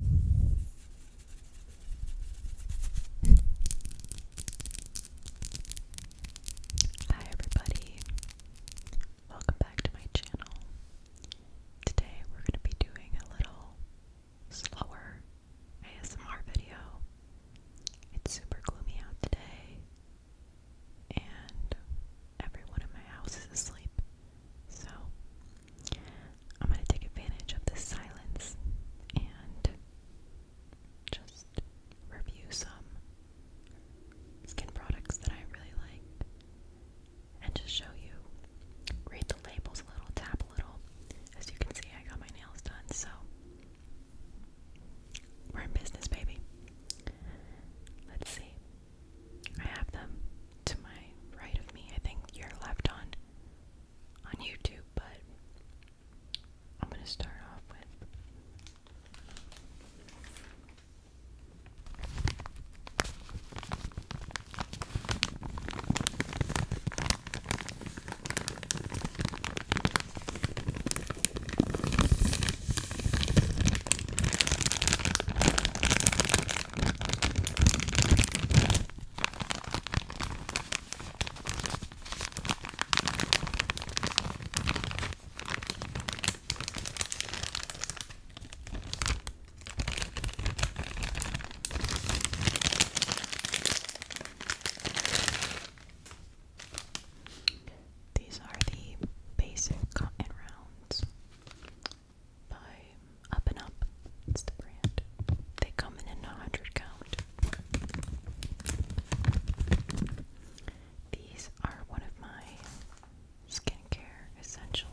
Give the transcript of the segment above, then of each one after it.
Hi everybody, welcome back to my channel. Today we're going to be doing a little slower ASMR video. It's super gloomy out today, and everyone in my house is asleep. So, I'm going to take advantage of this silence and just review some skin products that I really like and just show you. Read the labels a little, tap a little. As you can see, I got my nails done, so we're in business, baby. Let's see. I have them to my right of me. I think you're left on on YouTube, but I'm going to start off with these are the basic cotton rounds by Up and Up. It's the brand. They come in in a hundred count. These are one of my skincare essentials.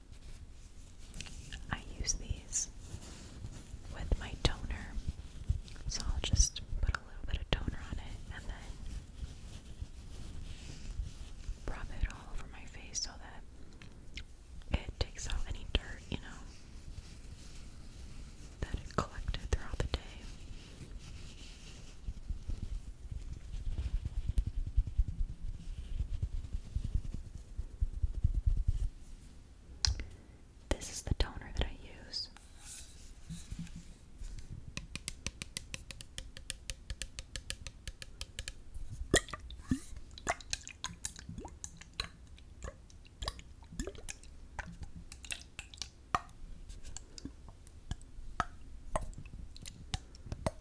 I use these with my toner, so I'll just put a little bit of toner on it and then rub it all over my face so that it takes out any dirt, you know, that it collected throughout the day. This is the toner that I use.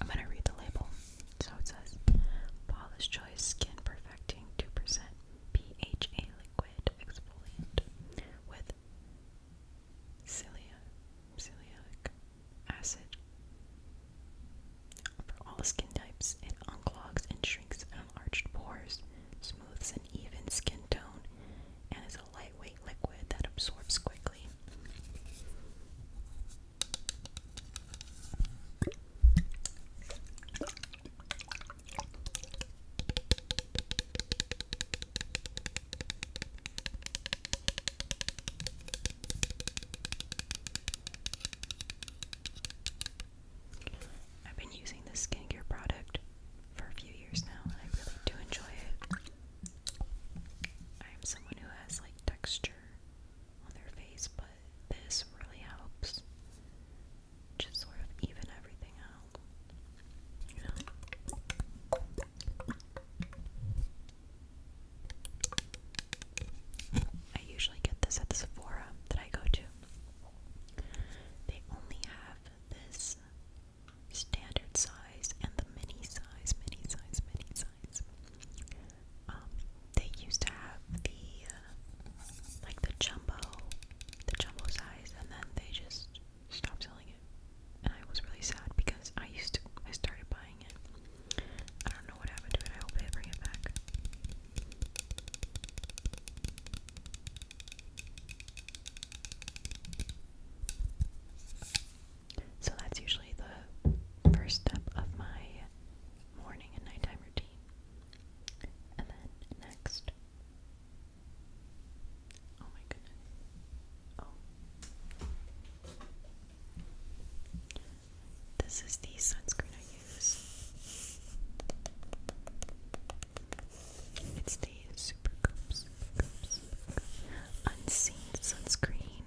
I'm gonna read the label. So it says Polish Choice Skin Perfecting 2% PHA Liquid Exfoliant with Cilia Celiac Acid for all skin types. It unclogs and shrinks unarched pores, smooths an even skin tone, and is a a lightweight liquid that absorbs quickly. I've been using this skincare product for a few years now and I really do enjoy it. I'm someone who has like texture on their face, but this really helps just sort of even everything out. I usually get this at the Sephora that I go to. They only have this standard size and the mini size, mini size, mini size. Um, they used to have the uh, like the jumbo, the jumbo size, and then they just stopped selling it. And I was really sad because I used to, I started buying it. I don't know what happened to it. I hope they bring it back. So that's usually the first step of my morning and nighttime routine. And then next. Oh my goodness. Oh. This is the sunscreen I use. It's the these unseen sunscreen.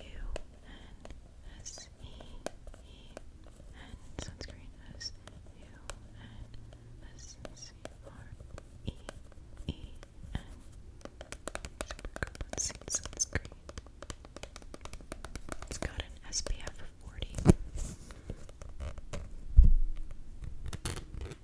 U N S E E N sunscreen S U N S C R E E N super coop unseen sunscreen. It's got an SPF 40.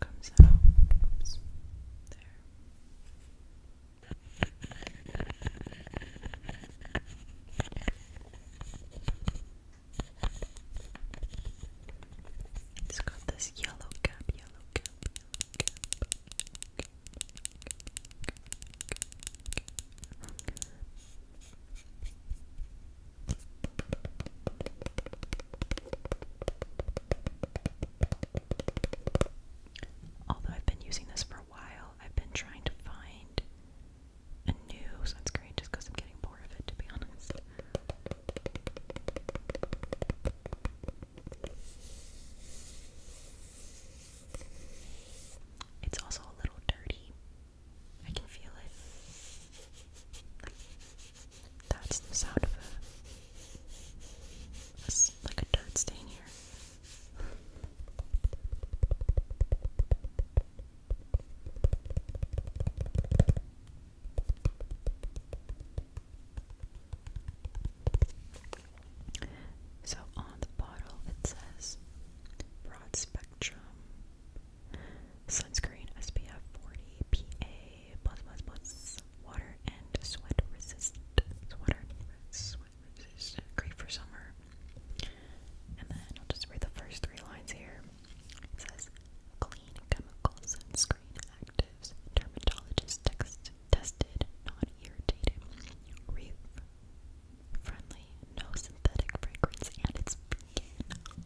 comes out. Oops. There. It's got this yellow cap, yellow cap, Although I've been using this for a while, I've been trying to find a new sunscreen just because I'm getting bored of it, to be honest. It's also a little dirty. I can feel it. That's the sound of a, like a dirt stain here. So on the bottle it says broad spectrum Sunscreen SPF 40 PA plus plus plus water and sweat resistant. Water sweat resist great for summer. And then I'll just read the first three lines here. It says clean chemical sunscreen actives, dermatologist text tested, non irritating, reef friendly, no synthetic fragrance, and it's vegan.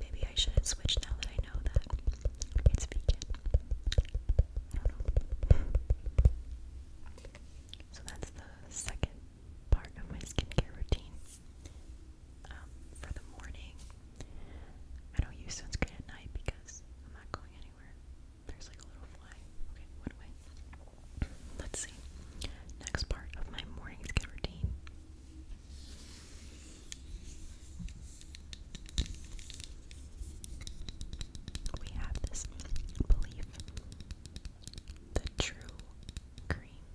Maybe I should switch now that I know that it's vegan. So that's the second part of my skincare routine. Um, for the morning, I don't use sunscreen at night because I'm not going anywhere. There's like a little fly. Okay, what do Let's see. Next part of my morning skin routine. We have this belief that true cream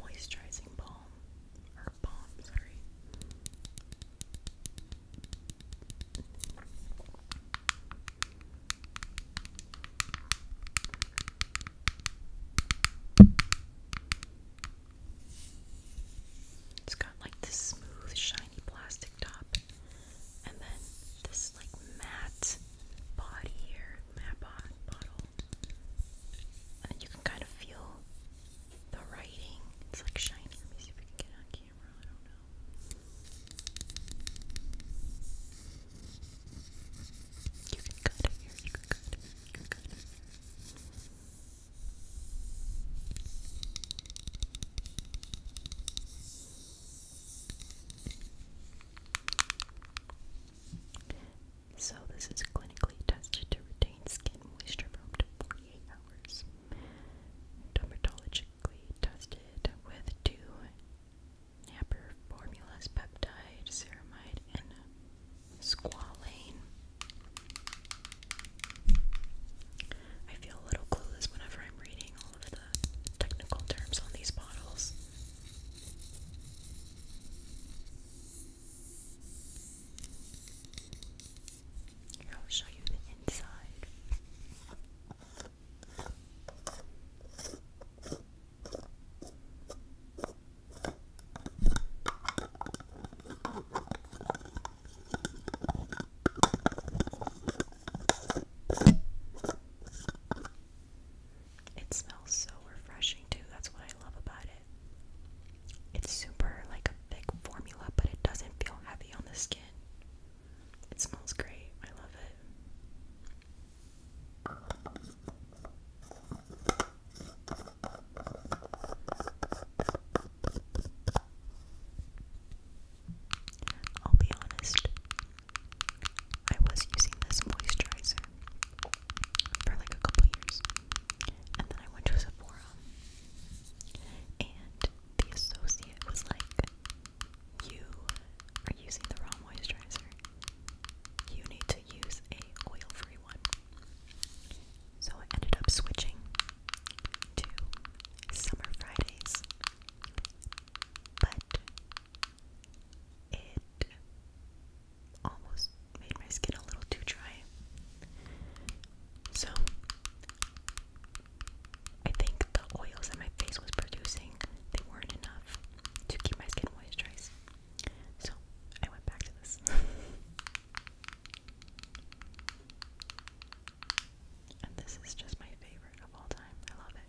moisturizing balm or balm, sorry. It's got like this smooth, shiny plastic top, and then this like matte body here, matte bottle. And you can kind of feel the writing. It's like shiny. Let me see if I can get on so this is clinically tested to retain skin moisture for up to 48 hours. Dermatologically tested with two napper formulas, peptide, ceramide, and squalane. I feel a little clueless whenever I'm reading all of the technical terms on these bottles. Here, I'll show you the inside. It smells so refreshing too. That's what I love about it. It's super like a thick formula, but it doesn't feel heavy on the skin. It smells great. I love it. I'll be honest, I was using this moisturizer for like a couple years, and then I went to Sephora and the associate was like, You are using the raw moisturizer. You need to use a oil-free one. So I ended up switching to Summer Fridays. But it almost made my skin a little too dry. So I think the oils that my face was producing, they weren't enough to keep my skin moisturized. So I went back to this. and this is just my favorite of all time. I love it.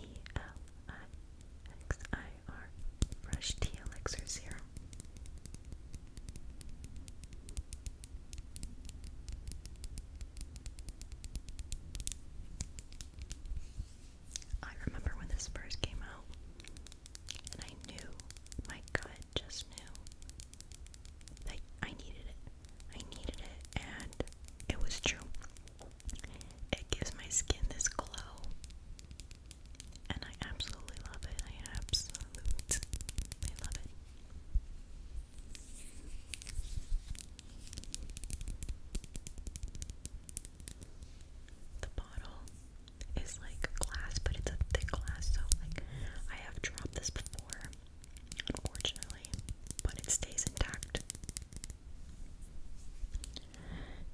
E-L-I-X-I-R Fresh Tea Elixir Serum. I remember when this first came out, and I knew, my gut just knew that I needed it. I needed it, and it was true. It gives my skin this glow, and I absolutely love it. I absolutely love it. The bottle is like glass, but it's a thick glass, so like I have dropped this before unfortunately, but it stays intact.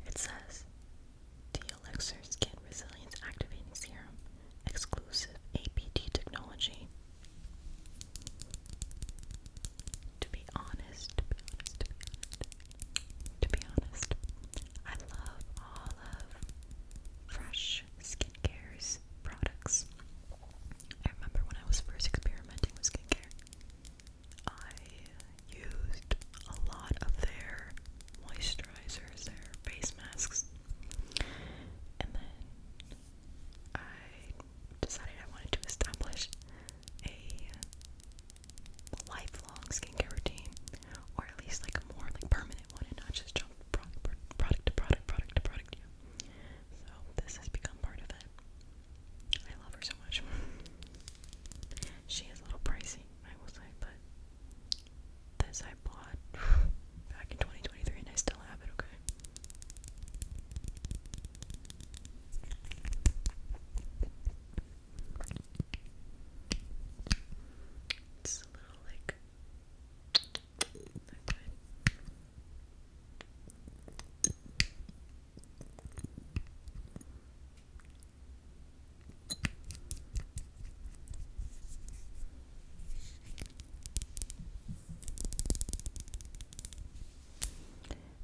It says the Elixir Skin Resilience Activating Serum, exclusive APT technology. to be honest, to be honest, I love all of Fresh Skincare's products. I remember when I was first experimenting with skincare, I used a lot of their moisturizers, their face masks, and then I decided I wanted to establish a lifelong skincare routine, or at least like a more like permanent one, and not just jump product, to product, product to product. So this has become part of it. I love her so much. she is a little pricey, I will say, but this I bought back in 2023 and I still have it, okay? It's a little like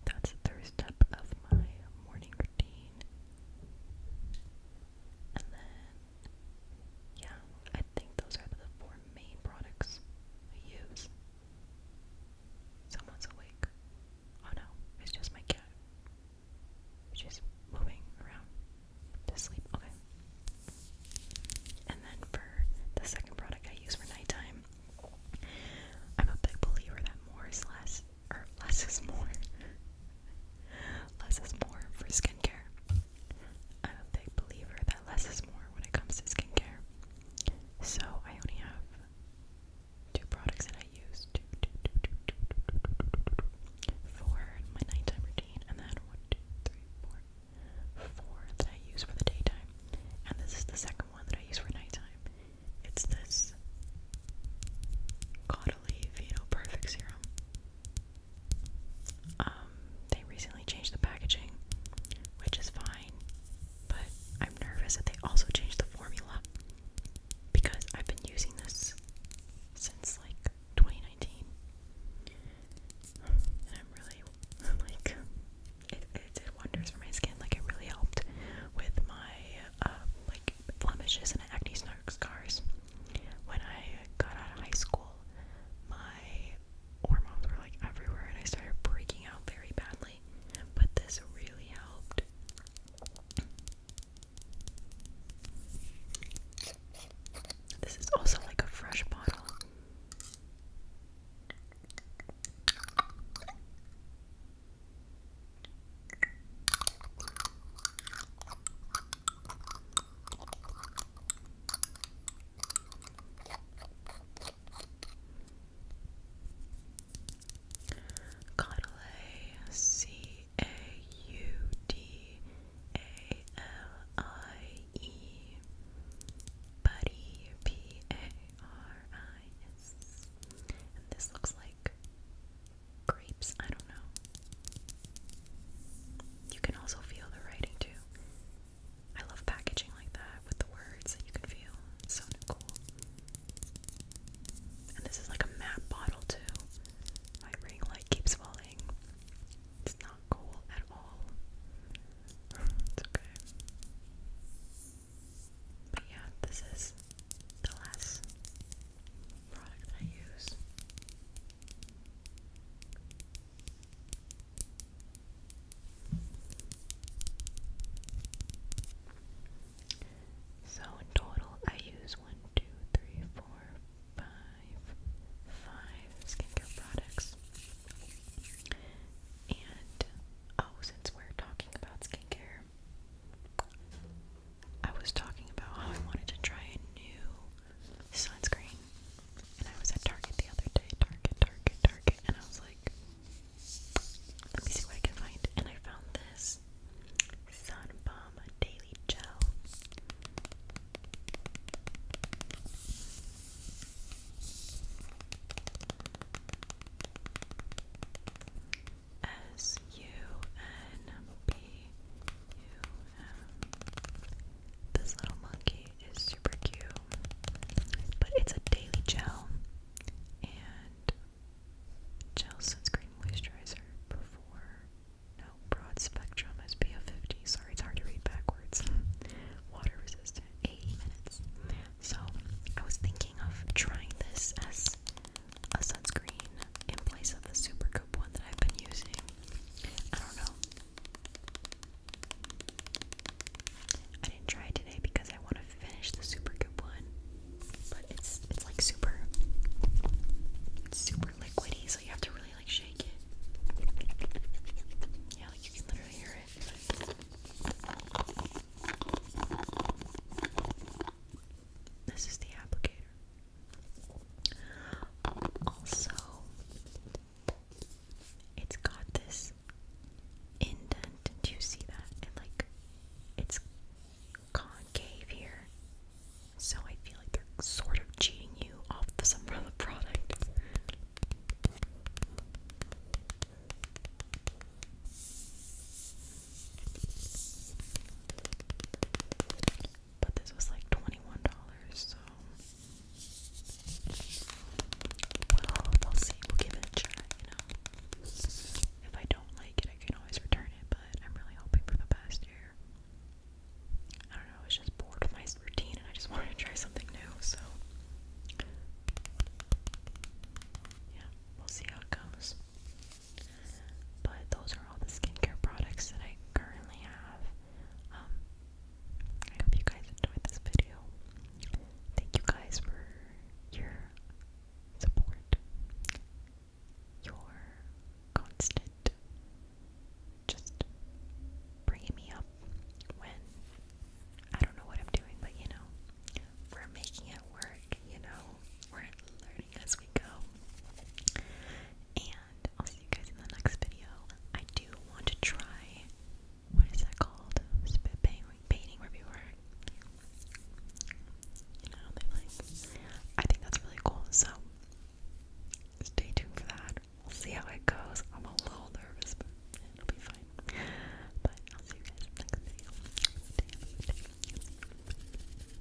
that's the third step of my morning routine. And then, yeah, think those are the four main products I use. Someone's awake. Oh no, it's just my cat. She's moving around to sleep. Okay. And then for the second product I use for nighttime, I'm a big believer that more is less, or less is more. less is more for skincare. I'm a big believer that less is more when it comes to skincare. So I only have two products that I use for my nighttime routine, and then one, two, three, four, four that I use for the daytime. And this is the second one that I use for nighttime. It's this Caudalie Vino Perfect Serum. Um, they recently changed the packaging, which is fine, but I'm nervous that they also changed the formula because I've been using this since like 2019, and I'm really like it, did wonders for my skin. Like it really helped with my uh, like blemishes and acne scars. When I got out of high school, my hormones were like everywhere and I started breaking out very badly. But this really helped. This is also like a fresh bottle. Caudale, C A U D A L I E. P A R I S. this looks like grapes. I don't know. You can also feel the writing too. I love packaging like that with the words you can feel. so cool. And this is like a map bottle too. My ring light keeps falling. It's not cool at all. it's okay. But yeah, this is the last product I use. So in total, I use one, two, three, four, five, five skincare products. And oh, since we're talking about skincare, I was talking about how I wanted to try a new sunscreen. And I was at Target the other day, Target, Target, Target, and I was like, let me see what I can find. And I found this Sunbomb Daily Gel. S U N B this little monkey is super cute, but it's a daily gel and gel sunscreen moisturizer before. No, broad spectrum SPF 50. Sorry, it's hard to read backwards. Water resistant, eight minutes. So I was thinking of trying this as a sunscreen in place of the Super Goop one that I've been using. I don't know. I didn't try it today because I want to finish the Super Goop one, but it's it's like super it's super liquidy, so you have to really like shake it. Yeah, like you can literally hear it. This is the applicator. Also, it's got this indent. Do you see that? It like it's concave here. So I feel like they're sort of cheating you off the some of the product. But this was like $21, so. Well, we'll see. We'll give it a try, you know? If I don't like it, I can always return it, but I'm really hoping for the best here. I don't know, I was just bored with my routine and I just wanted to try something new, so. Yeah, we'll see how it goes. But those are all the skincare products that I currently have. Um, I hope you guys enjoyed this video. Thank you guys for your support, your constant just bringing me up when I don't know what I'm doing, but you know, we're making it work, you know, we're learning as we go. And I'll see you guys in the next video. I do want to try what is that called? Spit painting where people are you know they like I think that's really cool, so stay tuned for that. We'll see how it goes. I'm a little nervous, but it'll be fine. But I'll see you guys next video.